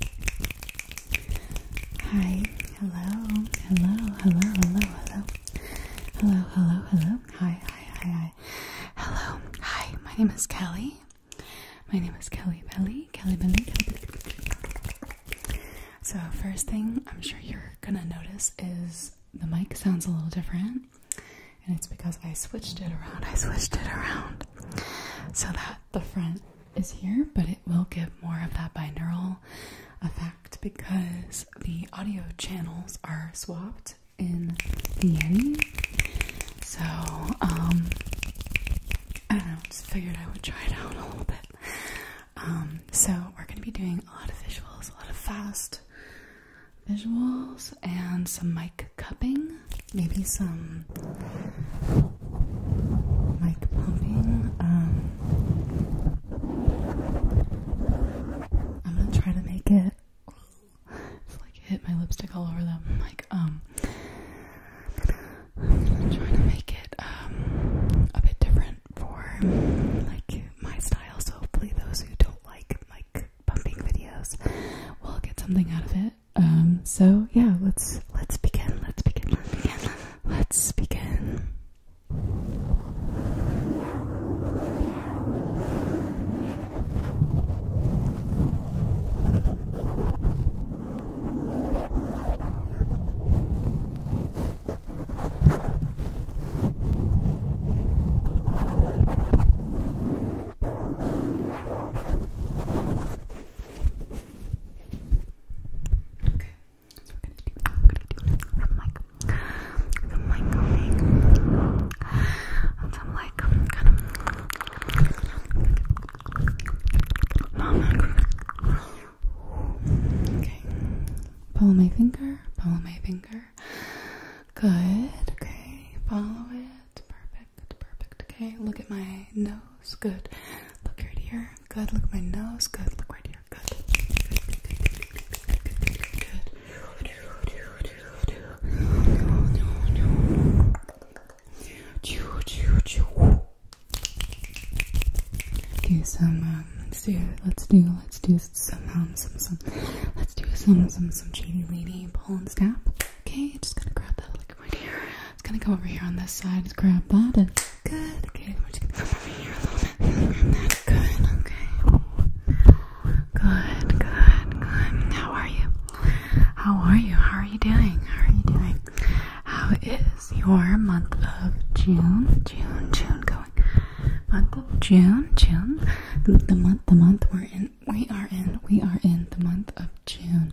Hi, hello, hello, hello, hello, hello, hello, hello, hello, hi, hi, hi, hi, hello, hi, my name is Kelly, my name is Kelly Belly, Kelly Belly, So first thing I'm sure you're gonna notice is the mic sounds a little different, and it's because I switched it around, I switched it around so that the front is here, but it will give more of that binaural effect because the audio channels are swapped in the Yeti. So, um, I don't know, just figured I would try it out a little bit. Um, so we're going to be doing a lot of visuals, a lot of fast visuals, and some mic cupping maybe some like pumping. Um, I'm gonna try to make it. like hit my lipstick all over them. Like um, I'm gonna try to make it um a bit different for like my style. So hopefully those who don't like like pumping videos will get something out of it. Um, so yeah, let's let's begin. Let's begin. Let's begin. Let's begin. Okay, so we gonna do we're gonna do the mic the mic coming and some like kind Okay. Follow my finger, follow my finger. Good, okay, follow it. Perfect perfect, perfect. Okay, look at my nose. Good. Look right here. Good. Look at my nose. Good. Look right here. Good. Good. Okay, some um, let's do let's do let's do some um some some let's do some some some shady lady pull and snap. Okay, just gonna grab that like right here. It's gonna come over here on this side. Just grab that and good. Okay, we're just gonna come over here a little bit. And that's good. Okay. Good, good, good. How are you? How are you? How are you doing? How are you doing? How is your month of June? June, June going. Month of June, June. The month, the month we're in. We are in. We are in the month of June.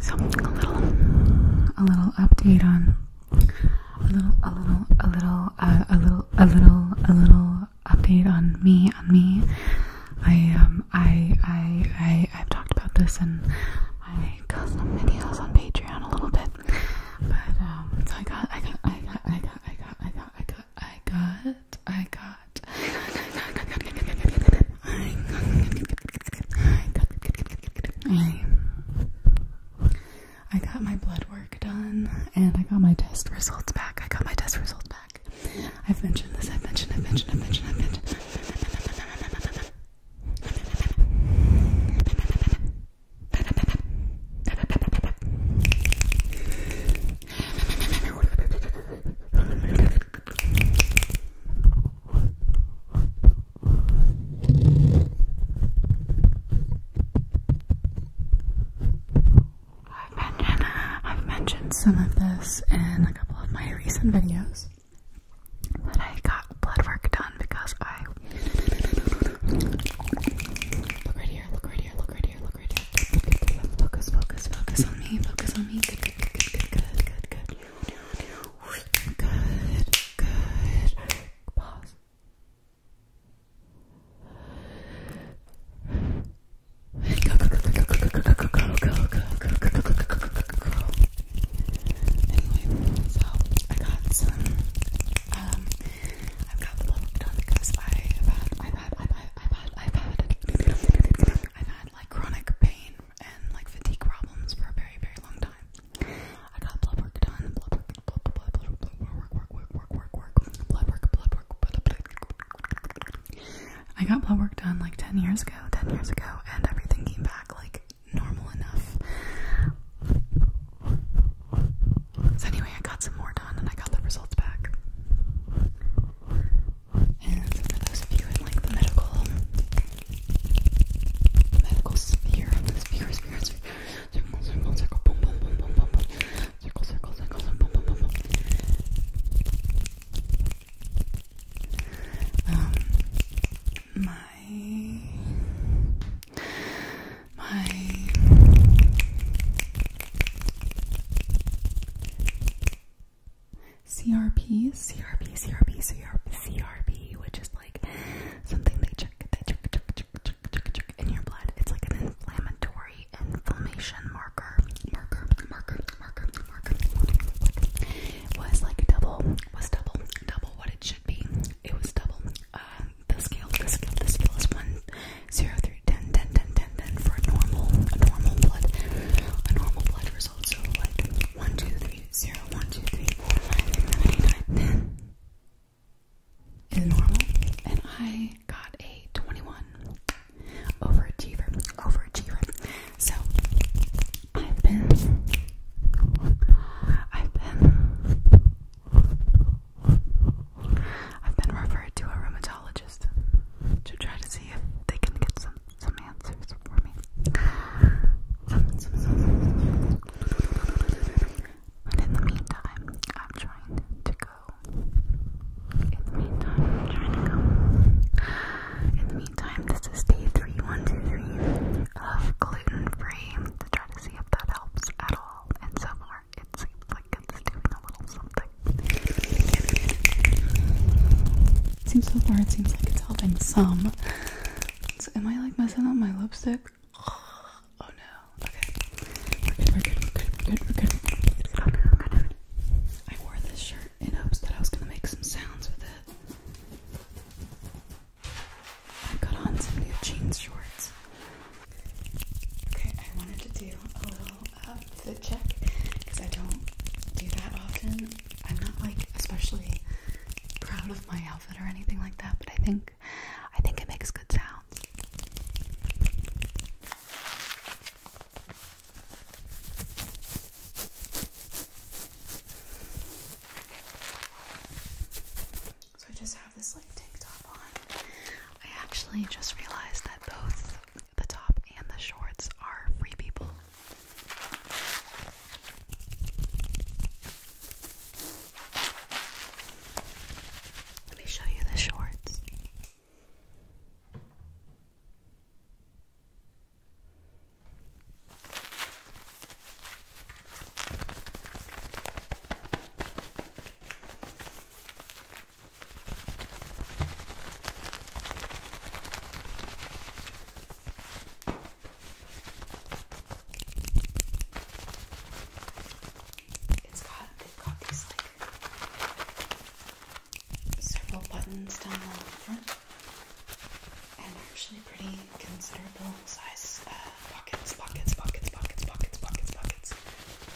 So a little, update on a little, a little, a little, uh, a little, a little, a little update on me, on me. I um, I I I I've talked about this in my custom videos on Patreon a little bit, but um, I got, I got, I got, I got, I got, I got, I got, I got I got. I got. my blood work done, and I got my test results back. I got my test results back. I've mentioned this. I've mentioned. I've mentioned. I've mentioned. I've mentioned, I've mentioned some of this in a couple of my recent videos that I got blood work done because I look right here, look right here, look right here, Focus, focus, focus on me. Focus on me. Good, good, good, good, good, good, good. Good, good. good. Pause. Go, go, go, go, go, go, go, go, go, go, go, go, go, go, go, go, go, go. Anyway, so I got some um i got the little done because I've had, I've had, I've had, I've had, I've had, I've had like chronic pain and like fatigue problems for a very, very long time. I got blood work done, blood work, blood, blood, blood, blood, work, work, work, work, work, work, blood work, blood work, blood, blood. I got blood work done like 10 years ago, 10 years ago, and everything came back like normal enough. So anyway, I got some more done and I got the results back. And for those of you in like the medical medical sphere, sphere, sphere, sphere, circle, Um, my my CRP, CRP, CRP, CRP, CRP, which is like something they check, they check, check, check, check, check, check in your blood. It's like an inflammatory inflammation marker, marker, marker, marker, marker. was like double, was double, double what it should be. It was double. Um, the scale, the scale, the scale is 1, for normal, normal blood, a normal blood result. So like 1, is normal. And I got a 21 overachiever, overachiever. So I've been, I've been I've been referred to a rheumatologist to try to see if they can get some some answers for me. But in the meantime, I'm trying to go. In the meantime, trying to go. In the meantime, this is day three, one, two, three of gluten free to try to see if that helps at all, and so far it seems like it's doing a little something. Seems so far, it seems like it's helping some. So am I like messing up my lipstick? Oh no. Okay. We're good, we I wore this shirt in hopes that I was gonna make some sounds with it. I got on some new jeans shorts. Okay, I wanted to do a little uh, check because I don't do that often. I'm not like especially proud of my outfit or anything like that, but I think I think it makes good sounds. So I just I actually just realized that both the top and the shorts are free people. Let me show you the shorts. It's got they've got these like several buttons down all over and actually pretty considerable size uh, pockets, pockets, pockets, pockets, pockets, pockets, pockets.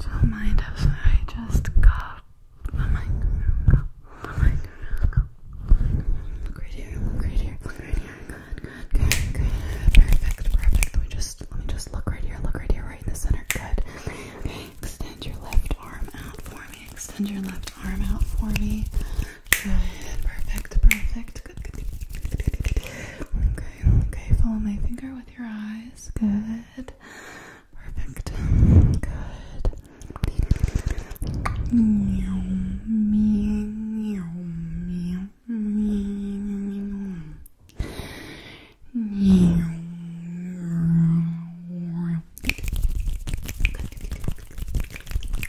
Don't mind us, I just got oh my god, oh my god, look right here, look right here, look right here, good, good, good, good, perfect, perfect, we just, let me just look right here, look right here, right in the center, good, okay, extend your left arm out for me, extend your left arm out for me, Good, perfect, perfect. Good, Okay, okay. Follow my finger with your eyes. Good, perfect. Good. Meow, meow, meow, meow. Good, good,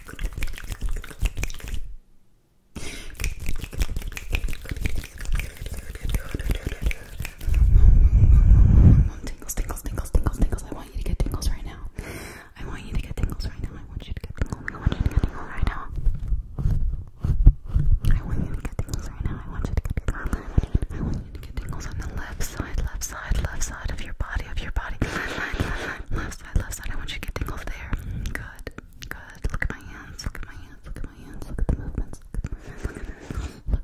good, Tingles, tingles, tingles, tingles, tingles. I want you to get tingles right now. I want you to get tingles right now. I want you to get tingles. I want you to get tingles right now. I want you to get tingles right now. I want you to get tingles. I want you to get tingles on the left side, left side, left side of your body, of your body. Left, left, left, left, left side, left side. I want you to get tingles there. Good, good. Look at my hands. Look at my hands. Look at my hands. Look at the movements. Look at the movements. Look.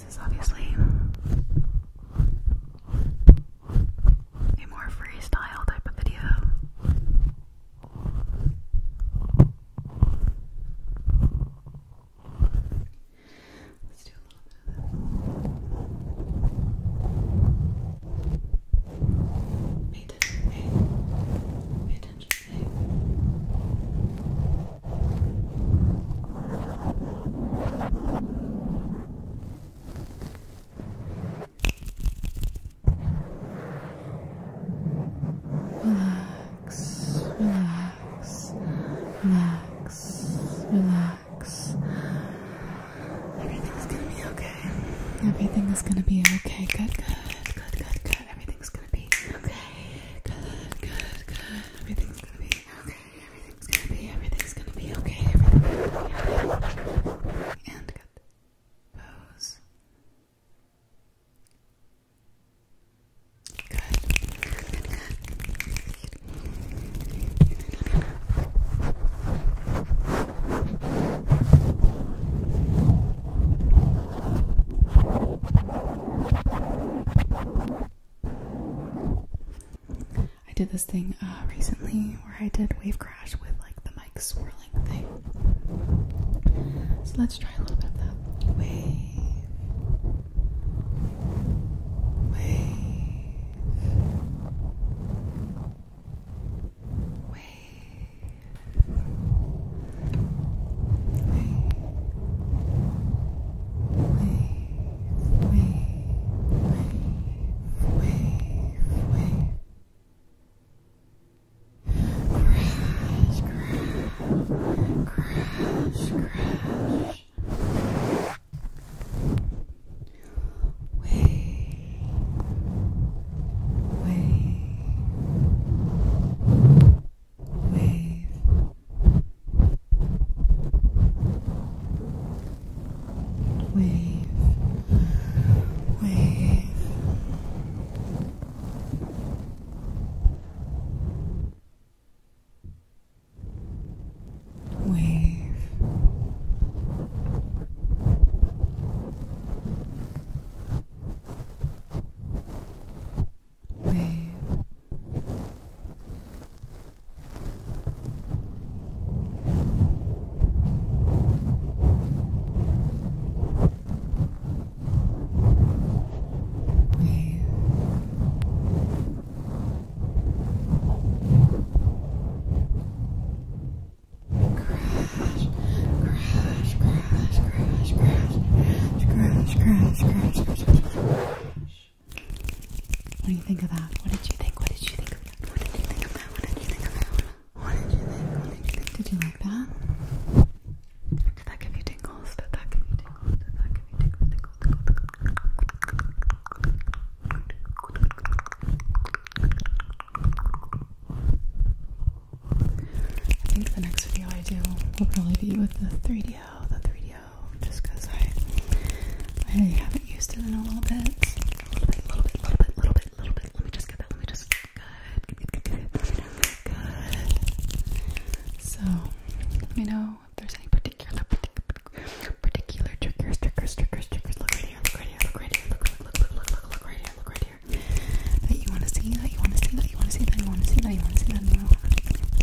This is obviously a more freestyle type of video. Let's do a little bit of this. attention, pay, attention, pay. Relax, relax, relax, relax. Everything's gonna be okay. Everything is gonna be okay. Good, good, good, good, good. Everything's gonna be okay. Good, good, good. Everything's gonna be okay, everything's gonna be, everything's gonna be okay, everything's gonna be okay. And good. Pose. good. I did this thing uh, recently where I did wave crash with like the mic swirling thing. So let's try a little bit of that. Wave. Wave. Wave. Wave wave, wave, wave, wave. Crash, crash, crash, crash. Wave, wave. Wave, wave. Wave, wave. Wave wave. Wave. Crash, crash, crash, crash, crash, crash, crash, crash, crash, crash, crash. What do you think of that? What did you think? What did you think of that? What did you think of that? What did you think of that? What did you think? What did you think? Did you like that? Did that give you tingles? Did that give you tingles? Did that give you tingles? Tingles, tingles, tingles. I think the next video I do will probably be with the 3DO, the 3DO video just because I, I haven't used it in a little bit. A little bit, little bit, little bit, little bit, little bit. Let me just get that. Let me just. Good, good, good, good. good. So, let me know if there's any particular, particular, particular triggers, triggers, triggers, triggers. Look right here, look right here, look right here, look, look, look, look, look, look right here, look right here. That you want to see, that you want to see, that you want to see, that you want to see, that you want to see, that you want to see.